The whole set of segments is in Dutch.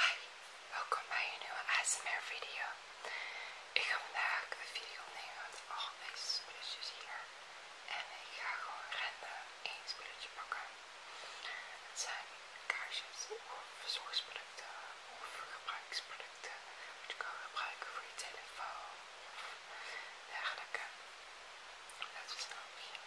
Hi, welkom bij een nieuwe ASMR video. Ik ga vandaag een video opnemen met al deze spulletjes hier. En ik ga gewoon random één spulletje pakken. Het zijn kaarsjes of verzorgsproducten of gebruiksproducten. Wat je kan gebruiken voor je telefoon of dergelijke. Laten we snel beginnen.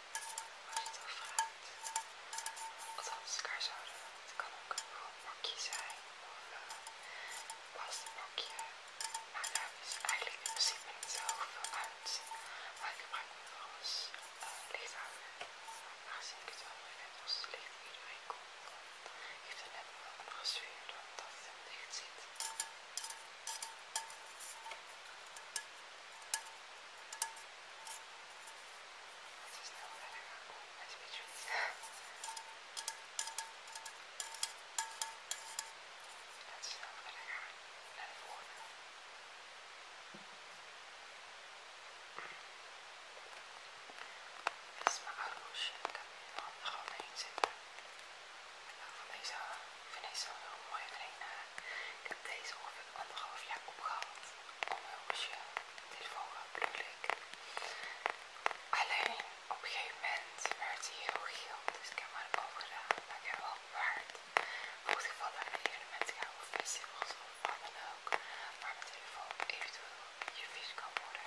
als je het vraagt. Althans, kaarshouder. Het kan ook een gewoon bakje zijn of een eh, plastabakje. Maar daar is eigenlijk in principe niet zo veel uit. Maar ik gebruik het voor als uh, eh, lichthouder. Aangezien ik het wel mooi vind als het licht bij iedereen komt, dan heeft het net wel andere sfeer dan dat het het licht zit. Ik ze is verder gaan komen met Beatrice. En snel verder gaan naar de volgende. Dit is mijn arroesje. Ik heb mijn handen gewoon erin zitten. Ik deze, ik vind deze zo heel mooi. Alleen, uh, ik heb deze ongeveer anderhalf jaar opgehaald. Onheusje, dit is wel natuurlijk. Alleen op een gegeven moment werd hij heel geel, dus ik heb hem maar opgedaan. Maar ik heb wel bewaard. Voor het geval dat ik naar evenementen ga of festivals of wat dan ook. Maar mijn telefoon eventueel je vis kan worden.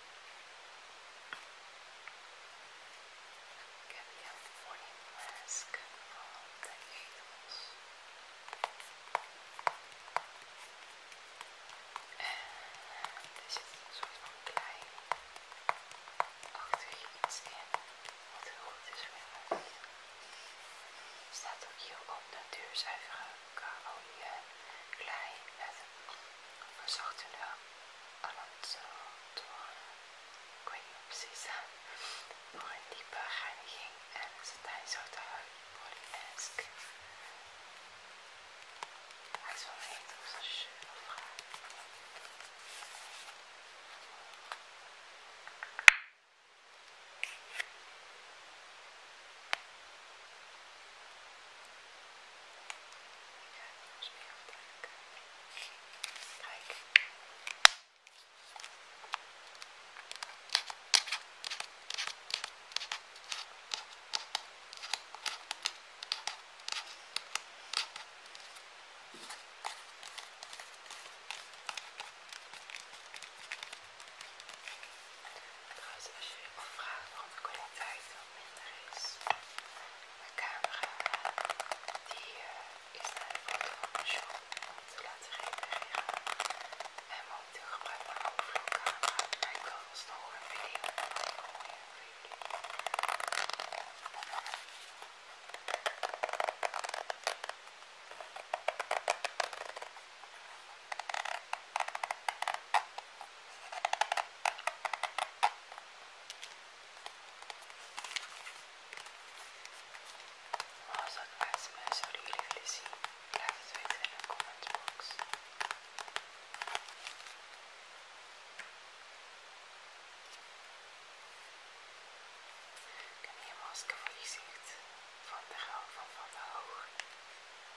heb out the morning mask van de the En er zit een soort van klein achter iets in, wat heel goed is Er staat ook hier op de karolie klei met we zochten de aan het ik weet niet precies, door eh, een diepe reiniging en zijn zoute huid, Polly-esque. Hij is wel een hele schöne vraag. Ja, dat is meer aantrekken. Kijk. Trouwens, als je me vraagt om de kwaliteit nice. Mijn camera die, is naar de om te laten repareren. En momenteel ik gebruik overvloedcamera, maar ik wil alsnog een video voor maar als dat ASMR zouden jullie willen zien, laat het weten in de comment box. Ik heb hier een masker voor je gezicht van de rouw van Van der Hoog.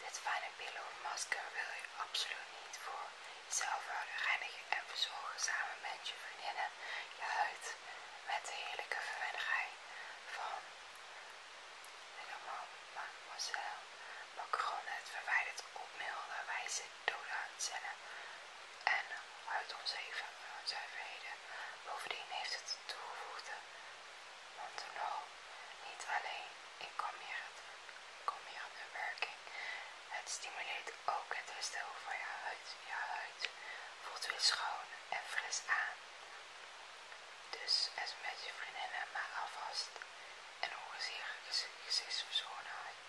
Dit fijne pillow masker wil je absoluut niet voor jezelf houden. Reinigen en verzorgen samen met je vriendinnen je huid met de heerlijke verwijdering van helemaal mademoiselle Macron. Het verwijdert op milde wijze cellen en huidonzuiverheden. Bovendien heeft het toegevoegde want no, niet alleen, ik kom hier, kom hier aan de werking. Het stimuleert ook het herstel van je huid. Je huid voelt weer schoon en fris aan. Dus met je vriendinnen maar alvast en organiseer je gezichtsverzorgdheid.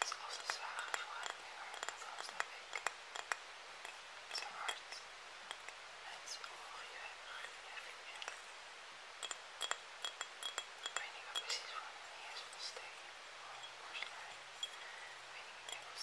is Zoals de zwager voor het meer, althans dat ik. Zijn hart en zijn ogen juichen meer. Ik weet niet wat precies voor een is van steen of porselein. Ik weet niet, ik denk van